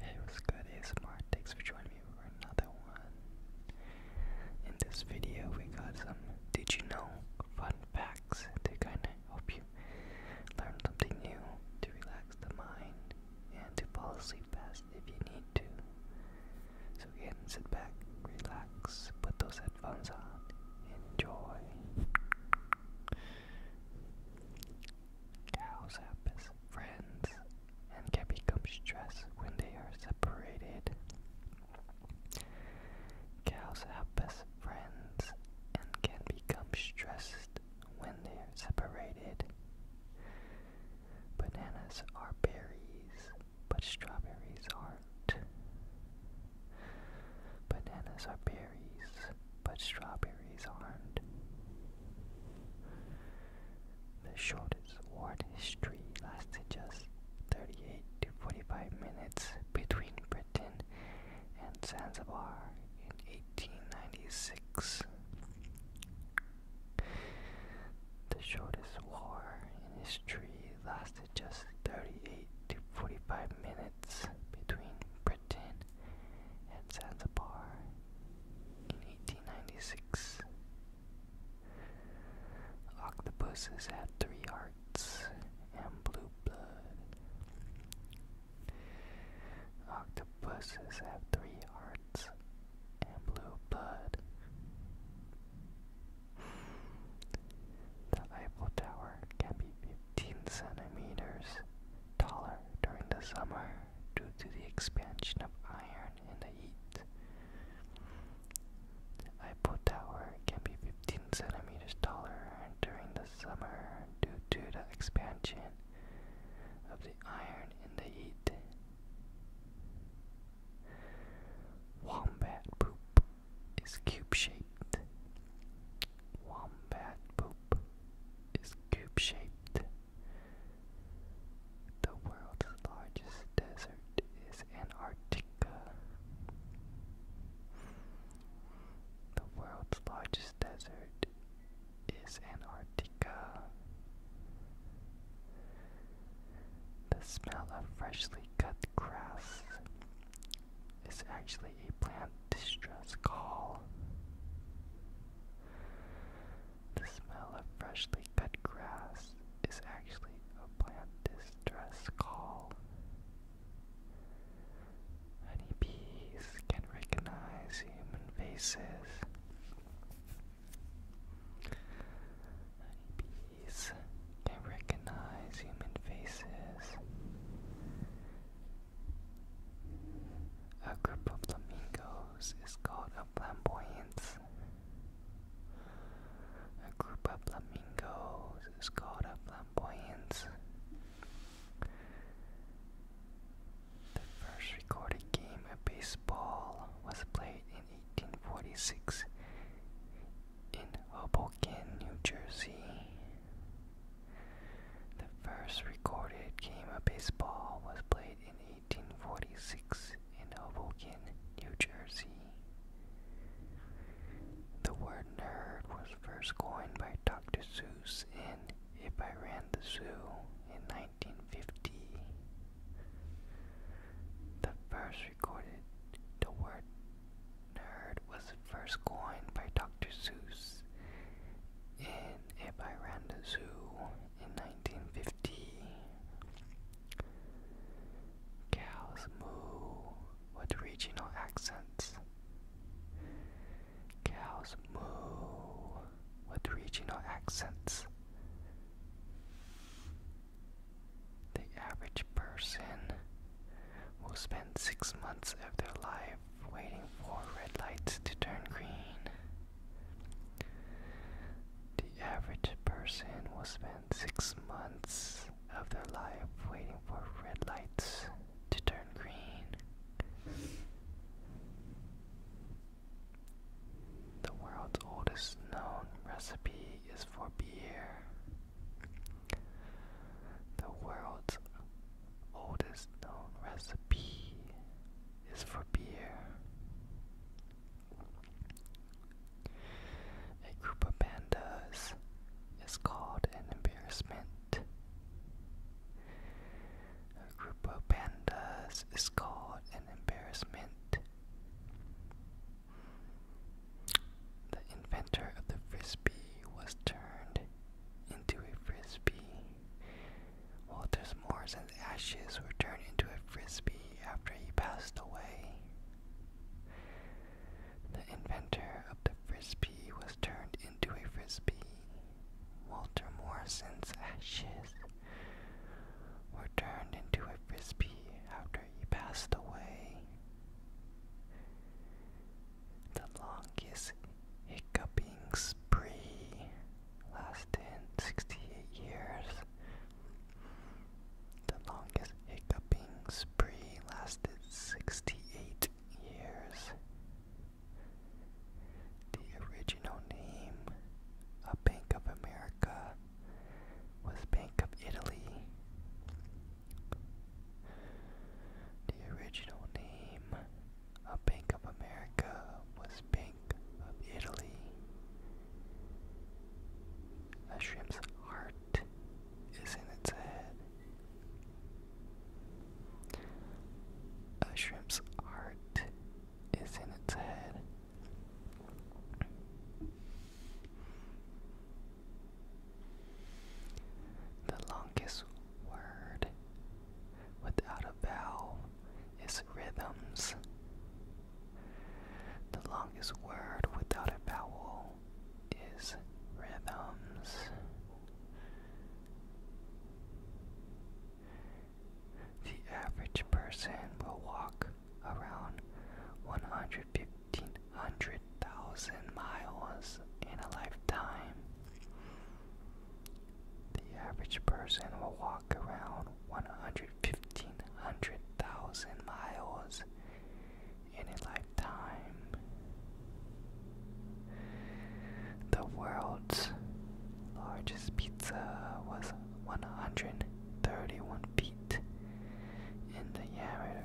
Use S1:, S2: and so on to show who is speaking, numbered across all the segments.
S1: Hey, what's good ASMR? Thanks for joining me for another one. In this video, we got some did you know fun facts to kind of help you learn something new, to relax the mind, and to fall asleep fast if you need to. So again, sit back, relax, put those headphones on, enjoy. Cows have best friends and can become stressed when they are separated. Cows have best friends and can become stressed when they are separated. Bananas are berries, but strawberries aren't. Bananas are berries, but strawberries aren't. The shortest war in history lasted just 38 to 45 minutes between Britain and Zanzibar in 1896. The shortest war in history lasted just 38 to 45 minutes between Britain at Zanzibar in 1896. Octopuses had three hearts and blue blood. Octopuses have three hearts and blue blood. The Eiffel Tower can be 15 centimeters taller during the summer due to the expansion of iron in the heat. The Eiffel can be 15 centimeters taller during the summer due to the expansion of the iron in the heat. Wombat poop is cube shaped wombat poop is cube shaped. The world's largest desert is Antarctica. The world's largest desert is Antarctica. The smell of freshly cut grass is actually a plant distress call. The smell of freshly cut grass is actually a plant distress call. Honeybees can recognize human faces. Honeybees can recognize human faces. A group of flamingos is called a flamboyance. A group of flamingos is called a flamboyance. The first recorded game of baseball was played in 1846 in Hoboken, New Jersey. The first recorded game of baseball was played in 1846 in Hoboken, New Jersey. The word nerd was first coined by Dr. Seuss in If I Ran the Zoo in 1950. The first recorded the word Nerd was first coined by Dr. Seuss in a Miranda Zoo in 1950. Cows moo with regional accents. Cows moo with regional accents. The average person will spend six months of their life waiting for red lights to turn green. The average person will spend six months of their life waiting for red lights to turn green. The world's oldest known recipe is for beer. The world's oldest known recipe is for beer. A group of pandas is called an embarrassment. A group of pandas is called an embarrassment. The inventor of the frisbee was turned into a frisbee. Walter Morrison's ashes were turned into a frisbee after he passed away. The inventor of the frisbee was turned into a frisbee. Walter Morrison's ashes were turned into a frisbee after he passed away. The longest hiccuping spree lasted 68 years. The longest hiccuping spree lasted 68 years. The original name of Bank of America was Bank of Italy. The original name of Bank of America was Bank of Italy. A shrimp's heart is in its head. A shrimp's heart is in its head. The longest word without a vowel is rhythms. The longest word without a vowel is rhythms. The average person will walk around one hundred people. 1,500,000 miles in a lifetime. The average person will walk around 1,500,000 miles in a lifetime. The world's largest pizza was 131 feet in diameter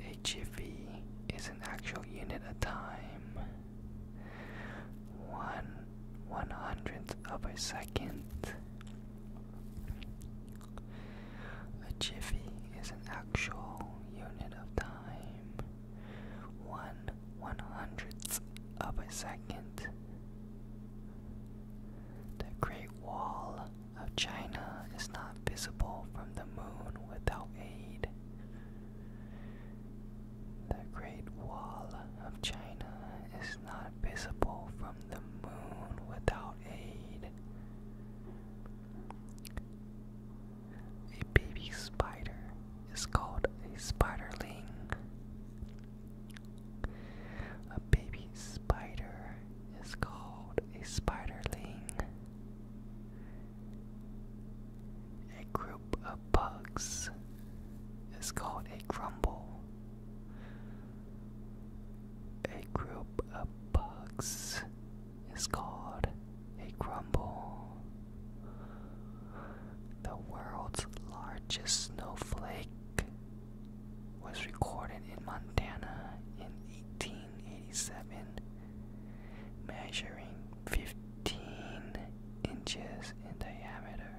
S1: A jiffy is an actual unit of time. One one hundredth of a second. A jiffy is an actual unit of time. One one hundredth of a second. The Great Wall of China is not visible from the moon without aid. The Great Wall of China is not visible from the moon without aid. A baby spider is called a spiderling. A baby spider is called a spiderling. A group of bugs is called a crumble. A group of bugs is called a crumble the world's largest snowflake was recorded in Montana in 1887, measuring 15 inches in diameter.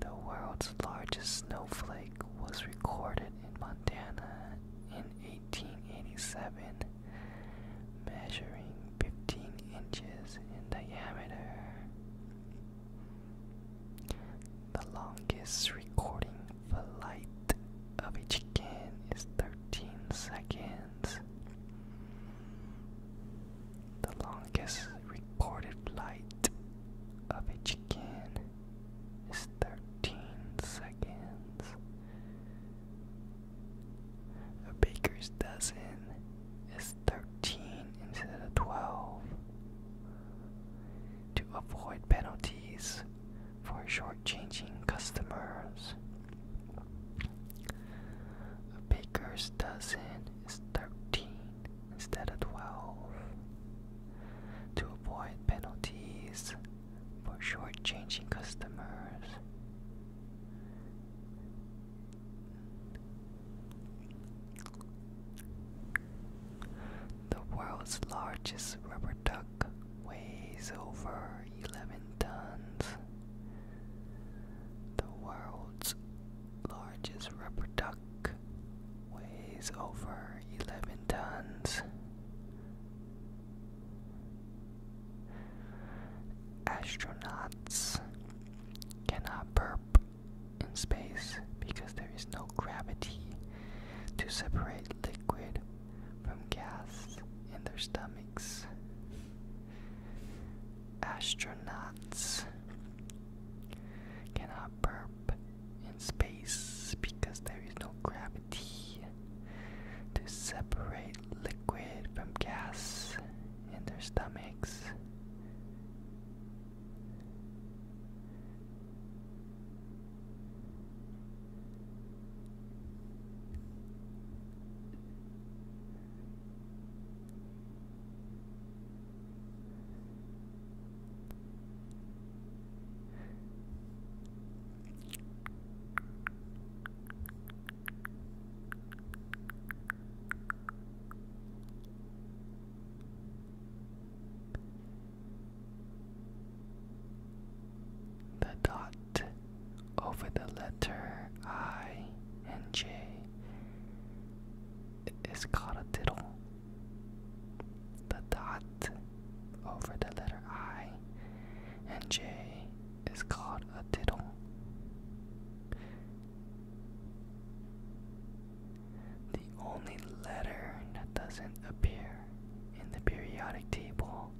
S1: The world's largest snowflake was recorded in Montana in 1887, measuring 15 inches in diameter. The longest recording flight of a chicken is 13 seconds. The longest recorded flight of a chicken is 13 seconds. A baker's dozen is 13 instead of 12 to avoid penalties for shortchanging customers. A baker's dozen is 13 instead of 12 to avoid penalties for shortchanging customers. The world's largest rubber duck weighs over 11 tons. The world's largest rubber duck weighs over 11 tons. Astronauts cannot burp in space because there is no gravity to separate liquid from gas in their stomachs. Astronauts cannot burp in space because there is no gravity to separate liquid from gas in their stomachs. The dot over the letter I and J is called a diddle. The dot over the letter I and J is called a diddle. The only letter that doesn't appear in the periodic table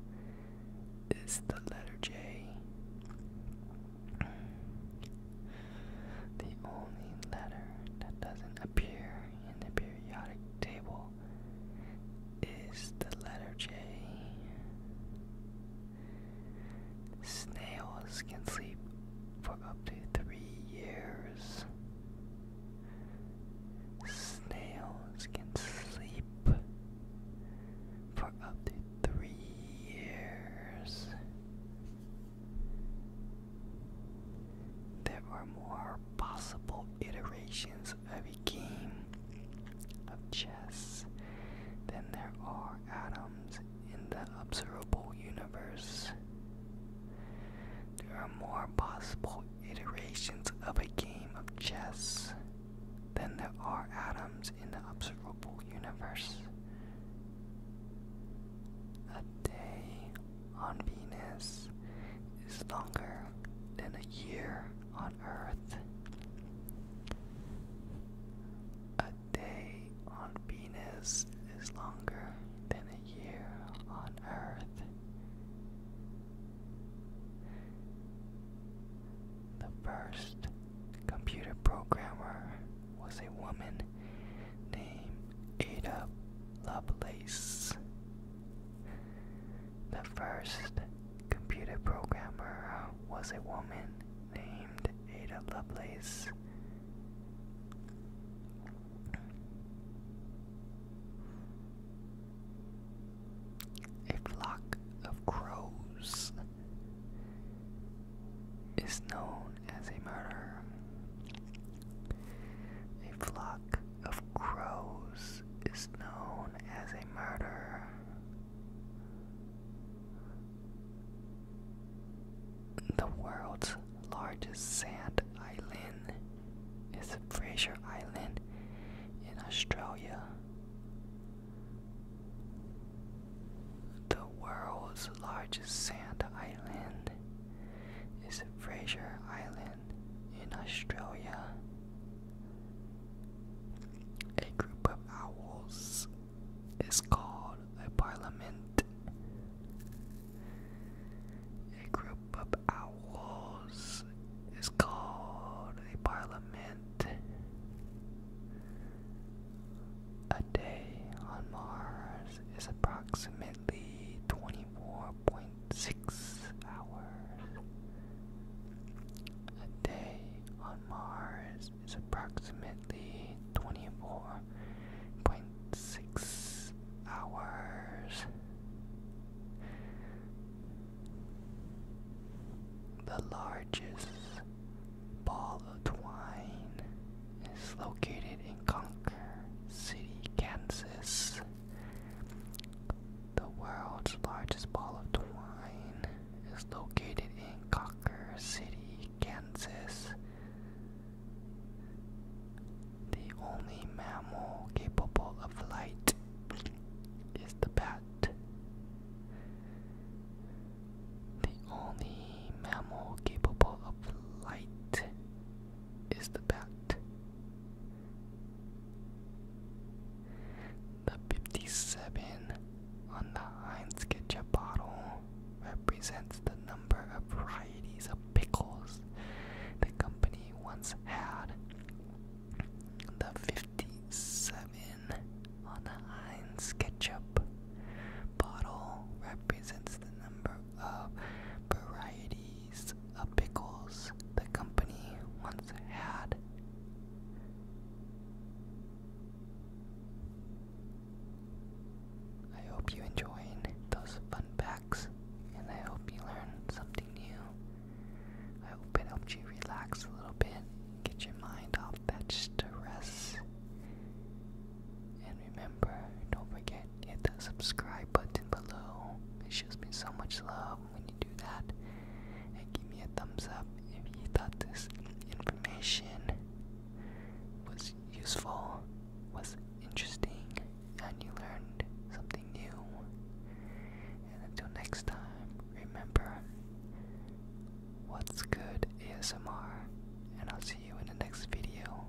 S1: is the letter J. The only letter that doesn't appear in the periodic table is the letter J. Snails can sleep for up to three years. Snails can sleep for up to three years. There are more possible iterations of a game of chess than there are atoms in the observable universe. There are more possible iterations of a game of chess than there are atoms in the observable universe. A day on Venus is longer than a year on Earth, a day on Venus is longer than a year on Earth. The first computer programmer was a woman named Ada Lovelace. The first computer programmer uh, was a woman named Ada Lovelace. A flock of crows is known as a murder. A flock of crows is known as a murder. The world's largest sand island is Fraser Island in Australia. The world's largest sand island is Fraser Island in Australia. A group of owls is called a parliament. A group of owls is called a parliament. A day on Mars is approximately 24.6 hours. A day on Mars is approximately 24.6 hours. The largest ball of twine is located in Concord, City, Kansas. The world's largest ball of twine is located in Cocker City, Kansas. The only mammal capable of flight is the bat. The only mammal capable of flight is the bat. The 57 on the Heinz ketchup bottle represents the number of varieties of pickles the company once had. The 57 on the Heinz ketchup bottle represents the number of varieties of pickles the company once had. I hope you enjoyed those fun facts, and I hope you learned something new. I hope it helped you relax a little bit, get your mind off that stress. And remember, don't forget, hit that subscribe button below. It shows me so much love when you do that. And give me a thumbs up if you thought this information was useful, was interesting, and you learned something new. And until next time, remember what's good ASMR, and I'll see you in the next video.